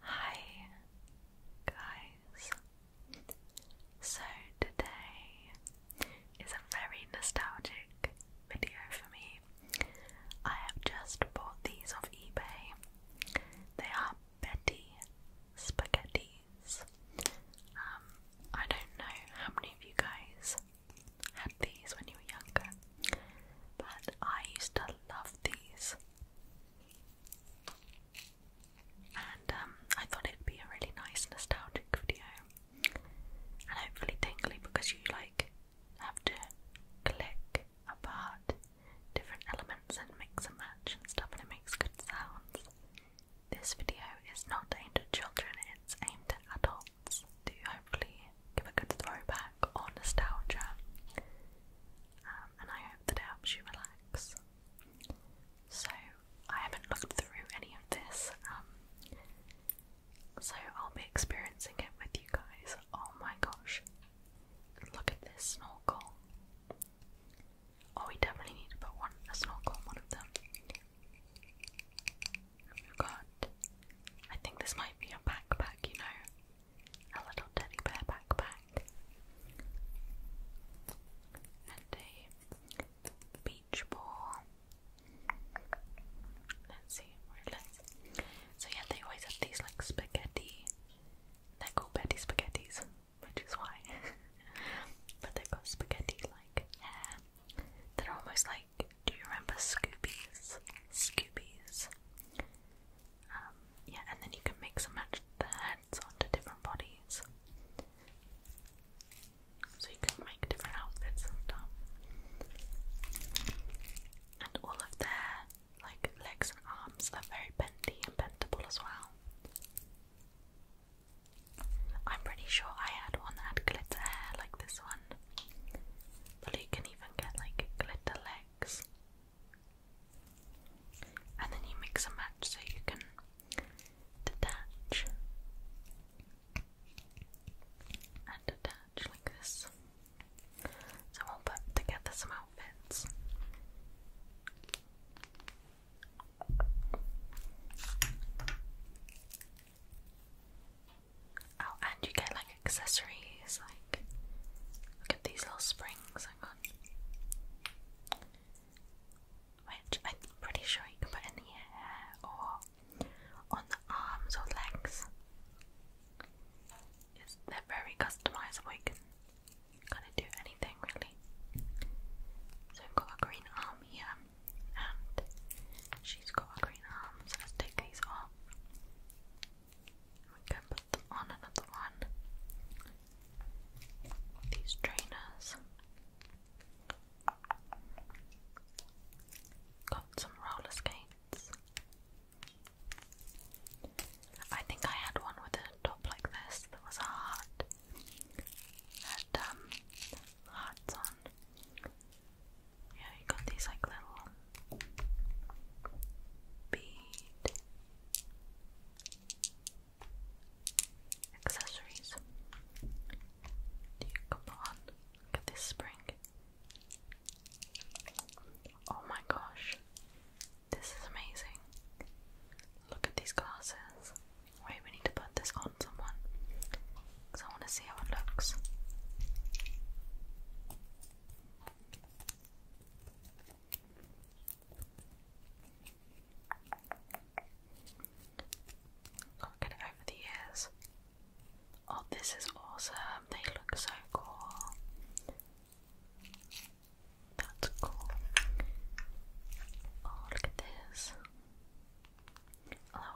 Hi guys. So today is a very nostalgic video for me. I have just bought these off eBay. They are Betty Spaghettis. Um, I don't know how many of you guys had these when you were younger, but I used to love these. And um, I thought it'd be a really nice nostalgic video, and hopefully tingly because you like have to click apart different elements and mix and match and stuff, and it makes good sounds. This video is not aimed at children; it's aimed at adults to hopefully give a good throwback or nostalgia. Um, and I hope that it helps you relax. So, I haven't looked through any of this, um, so I'll be experiencing it with you guys. Oh my gosh, look at this snorkel! Oh, we definitely need to put one a snorkel one of them. We've got, I think this might be a backpack, you know, a little teddy bear backpack, and a beach ball. Let's see where So yeah, they always have these like spaghetti. They're Betty Spaghettis, which is why. but they got spaghetti like They're almost like. Do you remember Scoobies? Scoobies. Um, yeah, and then you can mix and match the heads onto different bodies. So you can make different outfits and all of their like legs and arms are very bendy and bentable as well. I'm pretty sure I had one that had glitter hair like this one. But you can even get like glitter legs and then you mix and match so you can detach and detach like this. So we'll put together some outfits. Oh, and you get like accessories, like look at these little springs I got. Which I'm pretty sure you can put in the hair or on the arms or legs. they're very customizable, you can kind of do anything really. So we've got a green arm here, and she's got a green arm, so let's take these off. We can put on another one. These trainers. Got some roller skates. I think I had one with a top like this that was a heart. Had um on. Yeah, you got these like little bead Accessories. Do you come on? Look at this spring. Oh my gosh. This is amazing. Look at these glasses. Wait, we need to put this on someone. Because I want to see how it looks. Can't it over the ears. Oh, this is awesome. They look so cool. That's cool. Oh, look at this. A little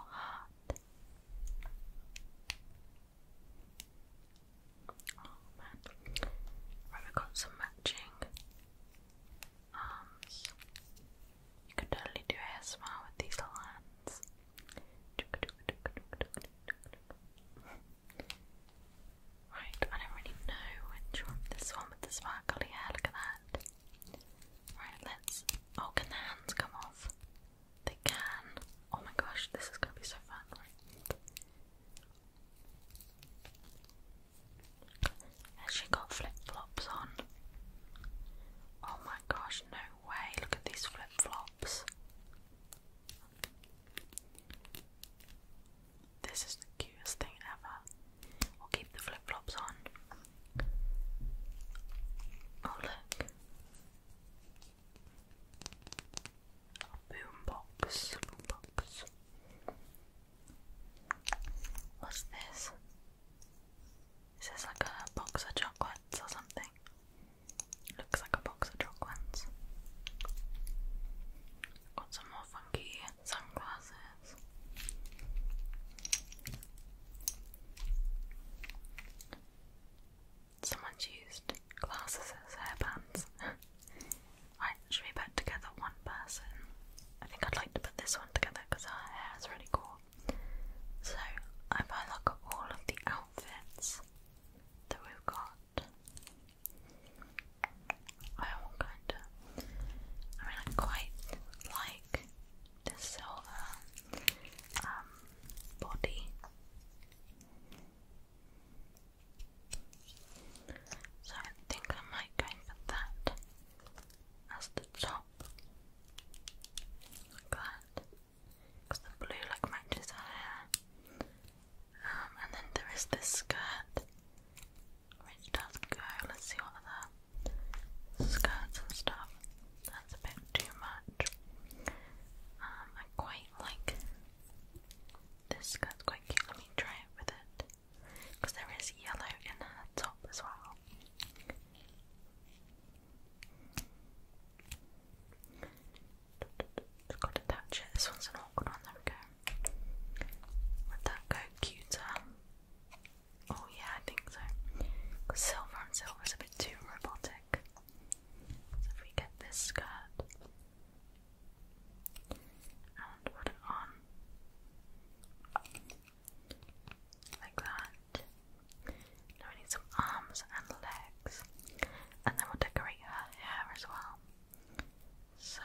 Oh man. we've got some matching arms. You could totally do ASMR with these hands. Right, I don't really know which one. This one with the sparkly hair, look at that. Right, let's. Oh, can the hands come off? They can. Oh my gosh, this is gonna be so fun, she got flip flops on. Oh my gosh, no way. Look at these flip flops. This is the cutest thing ever. We'll keep the flip flops on. Oh, look. Boombox. Boombox. What's this? Is this like a box of chocolates or something? Looks like a box of chocolates. Got some more funky sunglasses. Someone's used glasses as hairbands. Right, should we put together one person? I think I'd like to put this one together because her hair is really cool. So, if I look at all of the outfits that we've got, I am going to. I mean, I quite like this silver um, body. So I think I might go for that as the top. Like that. Because the blue like matches her hair. Um, and then there is this skirt which does go, let's see what other skirts and stuff. That's a bit too much. Um, I quite like this skirt's quite cute. Let me try it with it. Because there is yellow in her top as well. Just gotta touch it. This one's an awkward one. There we go. Let that go cuter. Oh, yeah, I think so. silver on silver is a bit too robotic. So if we get this skirt and put it on like that. Now we need some arms and legs, and then we'll decorate her hair as well. So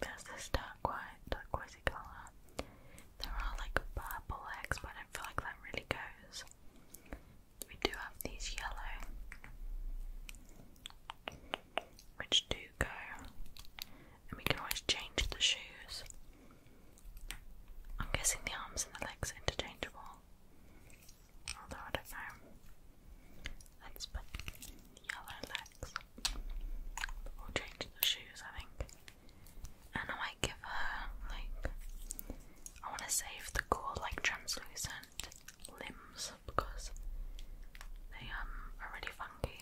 there's this dark white, turquoisey colour. There are like purple legs, but I feel like that really goes we do have these yellow, which do go, and we can always change the shoes. I'm guessing the arms and the legs are interchangeable, although I don't know. Let's put yellow legs. We'll change the shoes, I think. And I might give her like I want to save the cool, like translucent limbs because they um are really funky.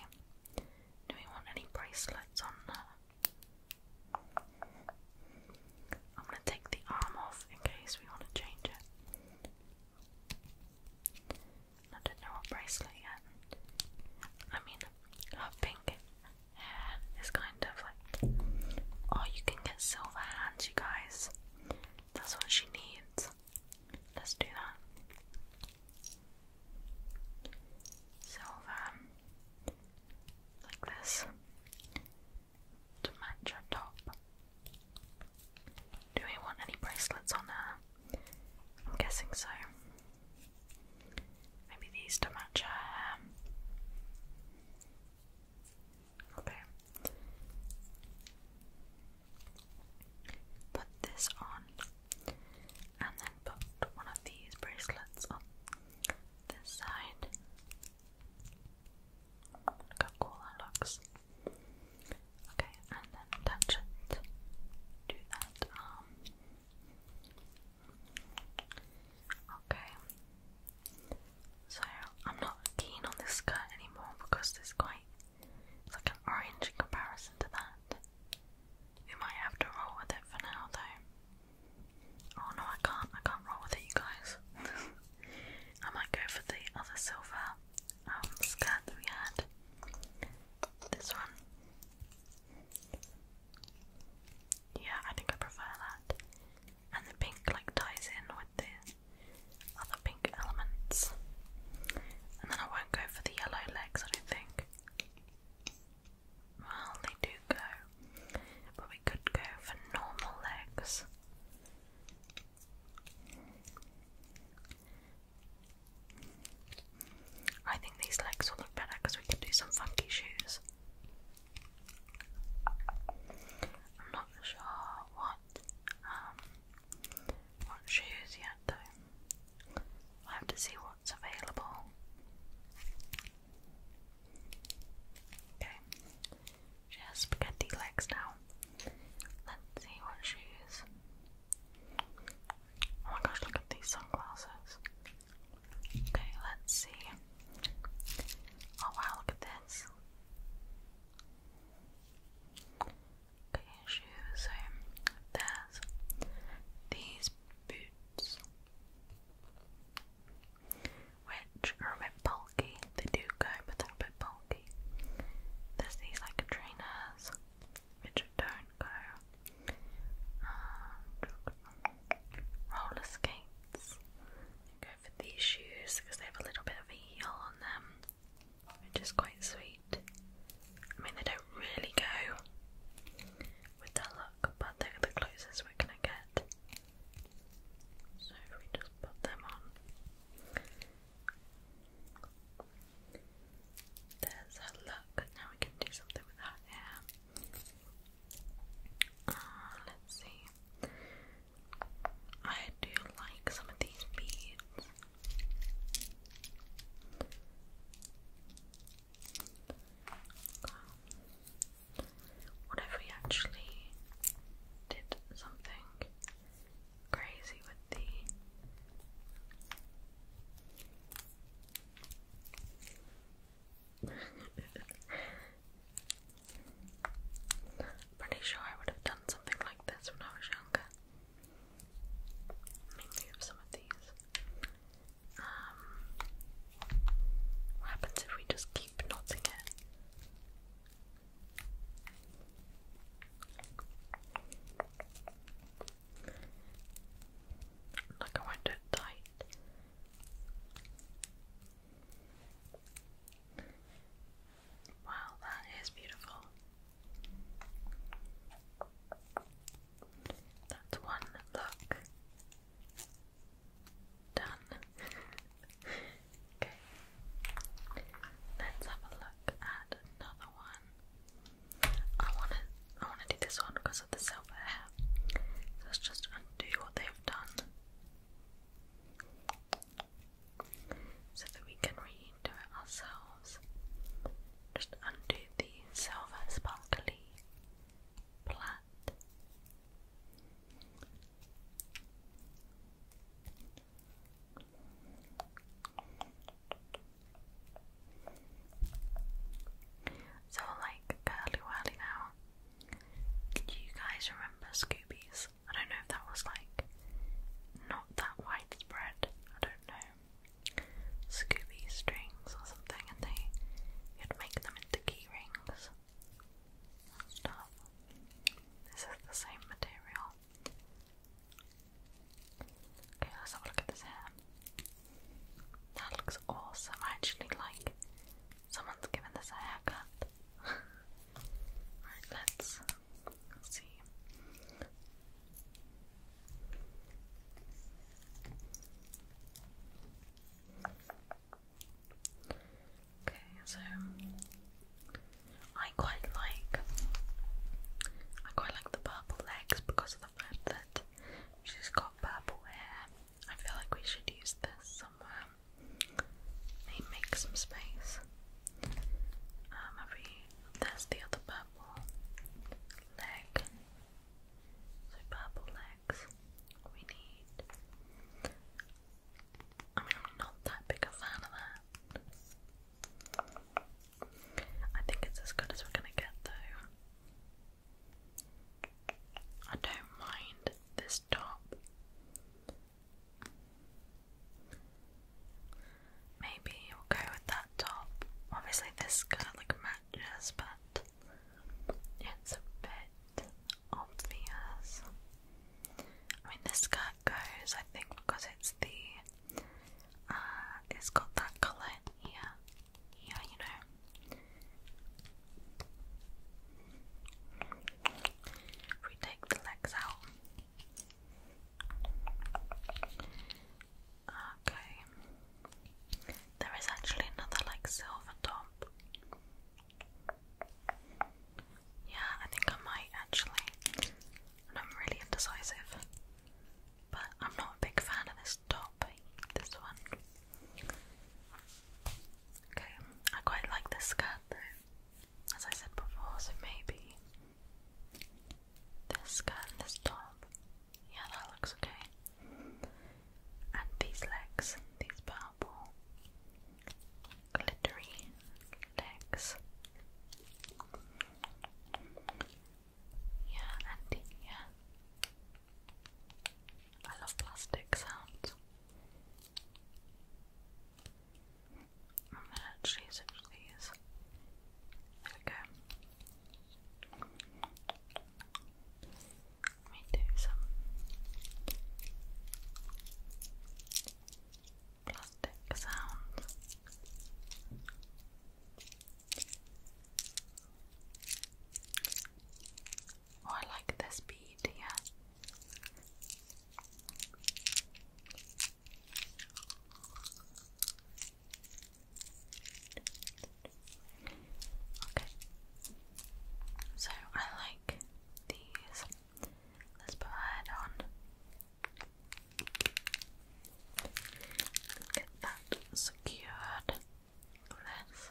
Do we want any bracelets on I'm gonna take the arm off in case we want to change it. not know what bracelet yet. I mean, her pink hair is kind of like. Oh, you can get silver hands, you guys. That's what she needs. Let's do that. Silver. Um, like this. To match her top. Do we want any bracelets on her? I'm guessing so. Maybe these to match her Okay. Put this on and then put one of these bracelets on this side. Look how cool that looks. Okay, and then touch it. Do that um, Okay, so I'm not keen on this skirt anymore because it's quite like an orange in comparison to that. We might have to roll with it for now though. Oh no I can't, I can't roll with it you guys. I might go for the other silver um, skirt that we had. This one. Yeah, I think I prefer that and the pink like ties in with the other pink elements. And then I won't go for the yellow legs, I don't think. Well, they do go, but we could go for normal legs. I think these legs will look better because we can do some funky shoes. I'm not sure what um what shoes yet though. i have to see what's available. Okay. She has spaghetti legs now. Let's see what shoes. Oh my gosh, look at these sunglasses. Okay, let's see. Oh wow, look at this. Okay, shoes. So there's these boots, which are a bit bulky. They do go, but they're a bit bulky. There's these like trainers, which don't go. roller skates. They for these shoes because they have a little bit of a heel on them, which is quite sweet. I mean, they don't really go with that look, but they're the closest we're gonna get. So if we just put them on. There's her look. Now we can do something with her hair. Uh, let's see. I do like some of these beads. Um, what if we actually did something crazy with the Pretty sure I would have done something like this when I was younger. Let me move some of these. Um, what happens if we just keep knotting it? Like I won't do it tight. Wow, that is beautiful. That's one look done. okay, let's have a look at another one. I wanna, I wanna do this one because of the silver let's just undo what they've done so that we can redo it ourselves. Just undo the silver sparkly plat. So like curly whirly now. Do you guys remember Scooby's I don't know if that was like not that widespread. I don't know. Scooby strings or something, and they you'd make them into key rings and stuff. This is the same material. Okay, let's have a look at this hair. That looks awesome. actually like someone's given this a haircut. let's see. Okay, so I quite like I quite like the purple legs because of the fact that she's got purple hair. I feel like we should use this somewhere. They make some space. Um, there's the other purple leg. So purple legs we need. I'm not that big a fan of that. I think it's as good as we're gonna get, though. I don't mind this top. Maybe we'll go with that top. Obviously, this skirt like matches, but it's a bit obvious. I mean, this skirt goes, I think, because it's the uh, it's got that color here, yeah, you know. If we take the legs out, Okay. There is actually another like silver top. Yeah, I think I might actually. I'm really indecisive. But I'm not a big fan of this top, this one. Okay, I quite like this skirt as I said before, so maybe this skirt this top. Yeah, that looks okay. And these legs, these purple glittery legs. Yeah, and yeah. I love plastic sounds. I'm gonna actually switch these. There we go. Let me do some plastic sounds. Oh, I like this bead here. Okay. So I like these. Let's put that on. Get that secured. This.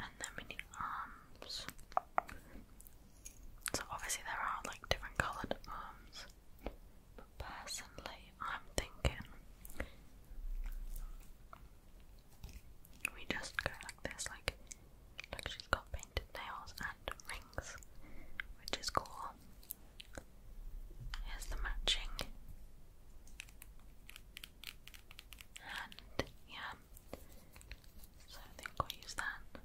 And then we arms. So obviously there are like different coloured arms, um, but personally I'm thinking we just go like this, like like she's got painted nails and rings, which is cool. Here's the matching. And yeah, so I think i will use that.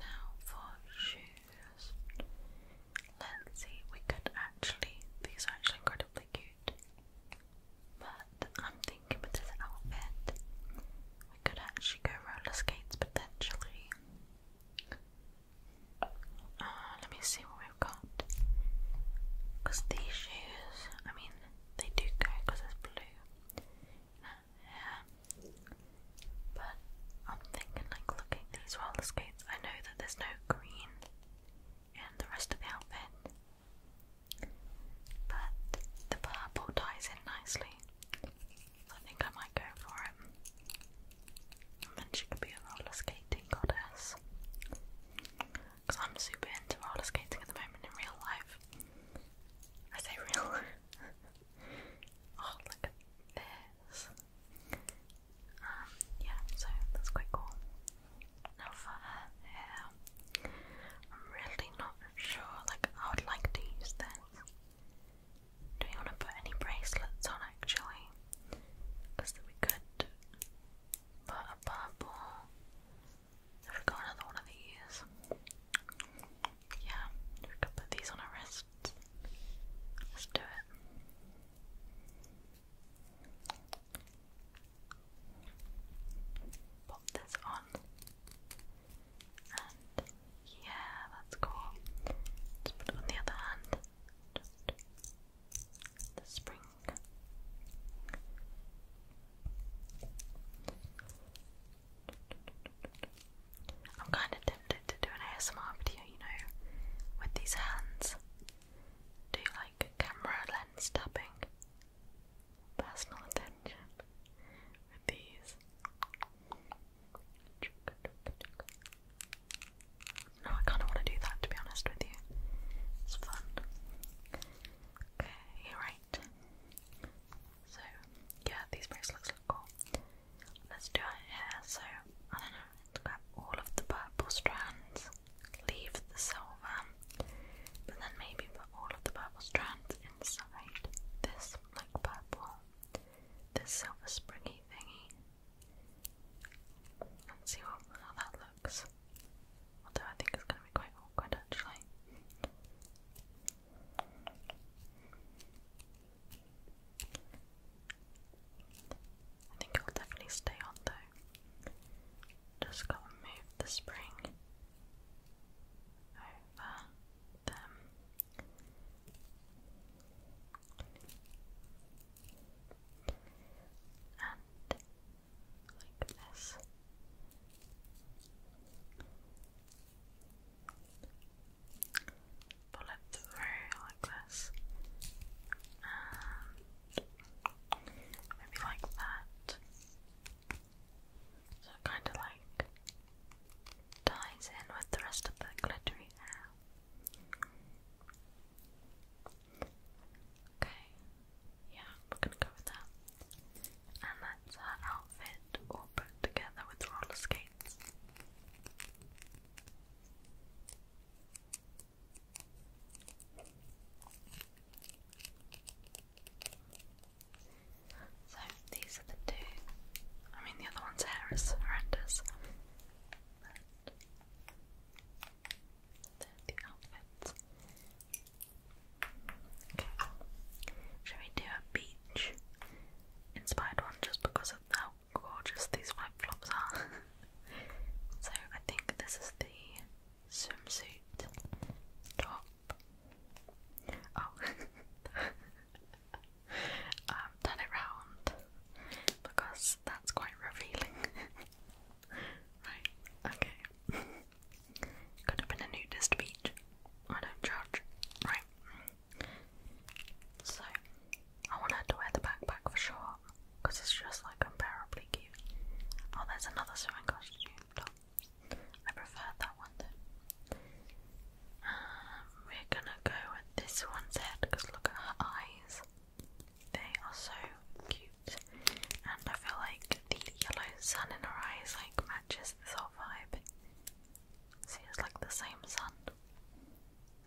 Now for shoes. Let's see, we could actually, these are actually incredibly cute. But I'm thinking with this outfit, we could actually go roller skates potentially. Uh, let me see what we've got. Because these shoes, I mean, they do go because it's blue. Yeah. But I'm thinking, like, looking these roller skates, I know that there's no green in the rest of the outfit. But the purple ties in nicely. I think I might go for it. And she could be a roller skating goddess. Because I'm super into roller skating at the moment in real life. I say real Oh, look this. Um, yeah, so that's quite cool. Now for hair, I'm really not sure, like, I would like to use this. Do we want to put any bracelets on actually? Because we could put a purple. Have we got another one of these? Yeah, we could put these on our wrists. Let's do it. Pop this on. And yeah, that's cool. Just put it on the other hand the spring. I'm kind of tempted to do an ASMR video, you know, with these hands. Do like camera lens tapping, personal attention with these. No, I kind of want to do that to be honest with you. It's fun. Okay, right. So, yeah, these bracelets look cool. Let's do it here. So, I don't know, let's grab all of the purple strands, leave the silver, but then maybe put all of the purple strands inside this, like purple, this silver springy thingy, Let's see what, how that looks. Although I think it's going to be quite awkward actually. I think it will definitely stay on though. Just gotta move the spring over them and like this. Pull it through like this, and maybe like that. So kind of like ties in with the rest of the glittery hair. Okay, yeah, we're gonna go with that. And that's her outfit all put together with roller skates. So these are the two. I mean, the other one's hair is horrendous that. the outfits. Okay. Should we do a beach inspired one just because of how gorgeous these white flops are? so I think this is the swimsuit top. Oh, um, turn it round because that's quite revealing. right, okay. Could have been a nudist beach. I don't judge. Right. So, I want to wear the backpack for sure because it's just like unbearably cute. Oh, there's another swimming costume I prefer that one though. Um, we're gonna go with this one's head because look at her eyes. They are so cute, and I feel like the yellow sun in her eyes like matches the whole vibe. See, it's like the same sun.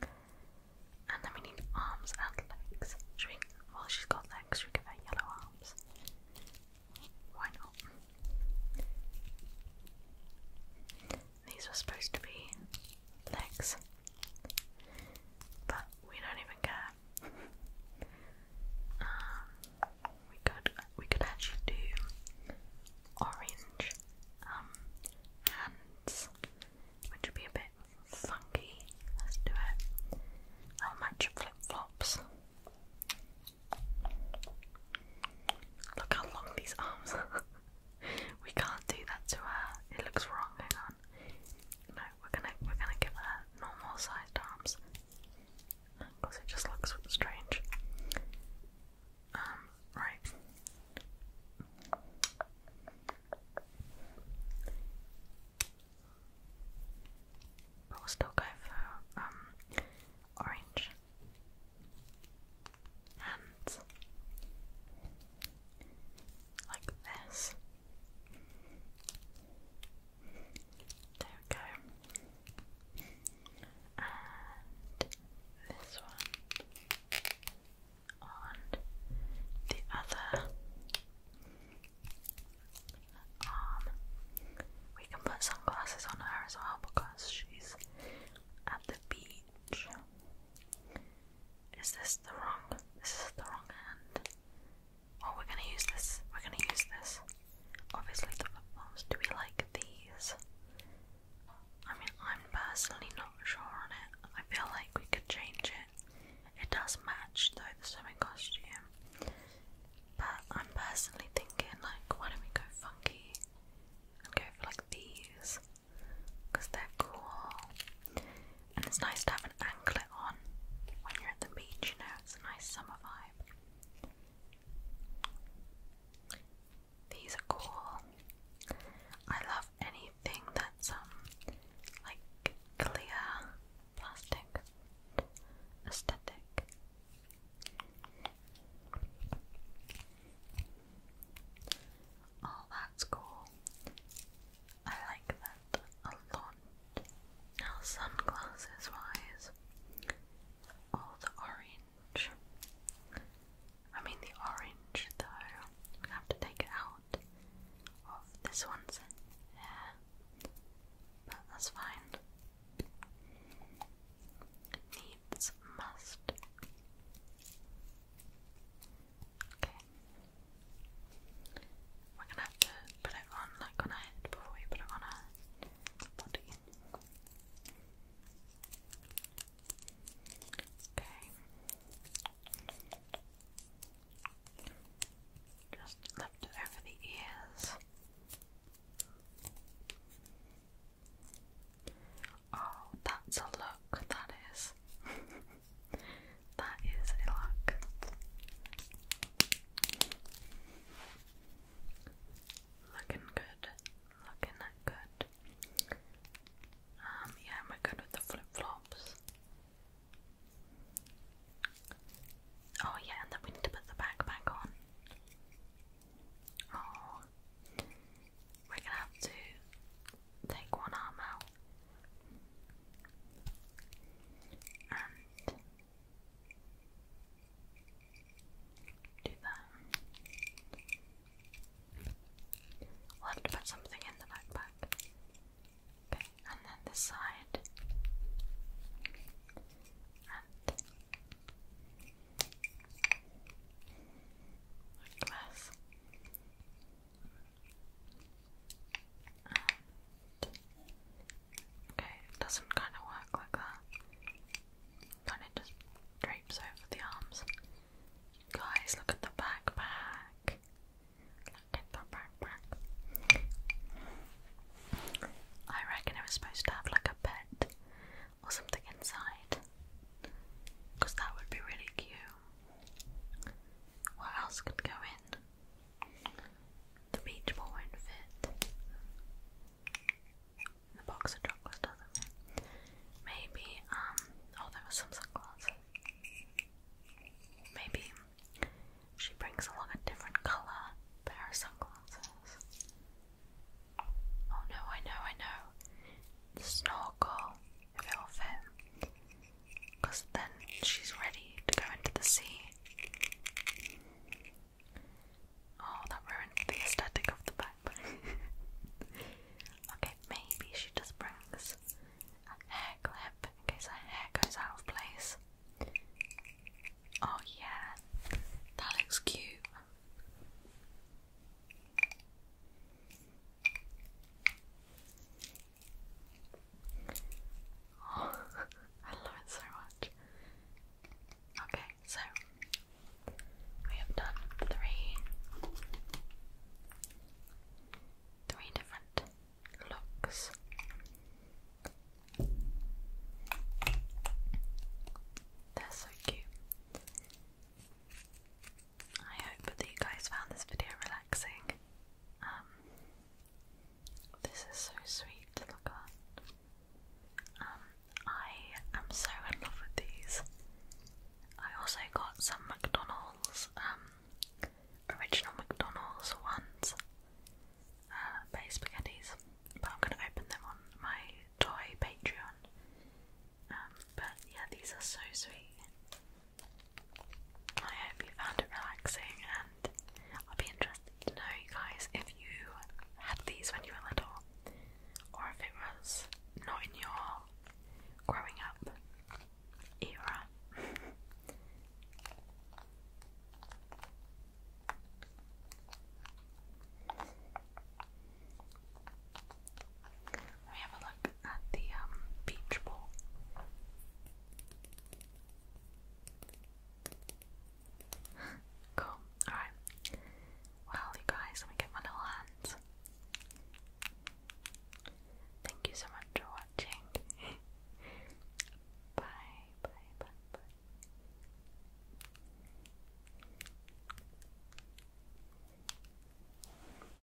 And then we need arms and legs. well, she's got legs, should we give yellow arms? Why not? These were supposed to be legs, but we don't even care. Um, we could we could actually do orange um hands, which would be a bit funky. Let's do it. I'll match your flip flops. Look how long these arms we can't do that to her. It looks wrong. Hang on. No, we're gonna we're gonna give her normal sized arms because it just looks strange. Um, right. But we'll still go for um orange and like this. There we go. And this one on the other arm. We can put sunglasses on her as well because she's at the beach. Is this the wrong? This is the wrong hand. Oh, we're gonna use this. We're gonna use this. Obviously, the flip flops. Do we like these? I mean, I'm personally not sure on it. I feel like we could change it. It does match though the swimming costume. But I'm personally thinking, like, why don't we go funky and go for like these? because they're cool. And it's nice to have an anklet on when you're at the beach, you know, it's a nice summer vibe. These are cool. I love anything that's um like clear plastic aesthetic. Oh, that's cool. I like that a lot. Now, sunglasses wise, all the orange. I mean, the orange though, we have to take it out of this one's hair, but that's fine. Needs must. Okay. We're gonna have to put it on like on our head before we put it on our body. Okay. Just lift it over the ears. Oh, that's a look, that is. That is a lock. Looking good. Looking good. Um, yeah, am I good with the flip flops? Oh, yeah, and then we need to put the backpack on. Oh, we're gonna have to take one arm out and do that. We'll have to put something in the backpack. and then this side. And like okay, it doesn't kind of work like that. Kind of just drapes over the arms. Guys, look at the backpack. Look at the backpack. I reckon it was supposed to have like a pet or something inside. Because that would be really cute. What else could go in? The beach ball won't fit. The box of chocolates doesn't fit. Maybe, um, oh, there was some sunglasses. Maybe she brings along a different colour pair of sunglasses. Oh no, I know, I know. snorkel, if it will fit because then she's ready to go into the sea. Oh, that ruined the aesthetic of the backpack. okay, maybe she just brings a hair clip in case her hair goes out of place. Oh, yeah, that looks cute. I love it so much. Okay, so we have done three three different looks. They're so cute. I hope that you guys found this video relaxing. Um, this is so sweet to look at. Um, I am so in love with these. I also got some McDonald's, um, original McDonald's ones, uh, based but I'm gonna open them on my toy Patreon. but yeah, these are so sweet. I hope you found it relaxing, and I'll be interested to know, you guys, if you had these when you were little, or if it was not in your growing up era. Let me have a look at the um, beach ball. cool. Alright. Well, you guys, let me get my little hands. Thank you so much for watching. bye, bye, bye, bye.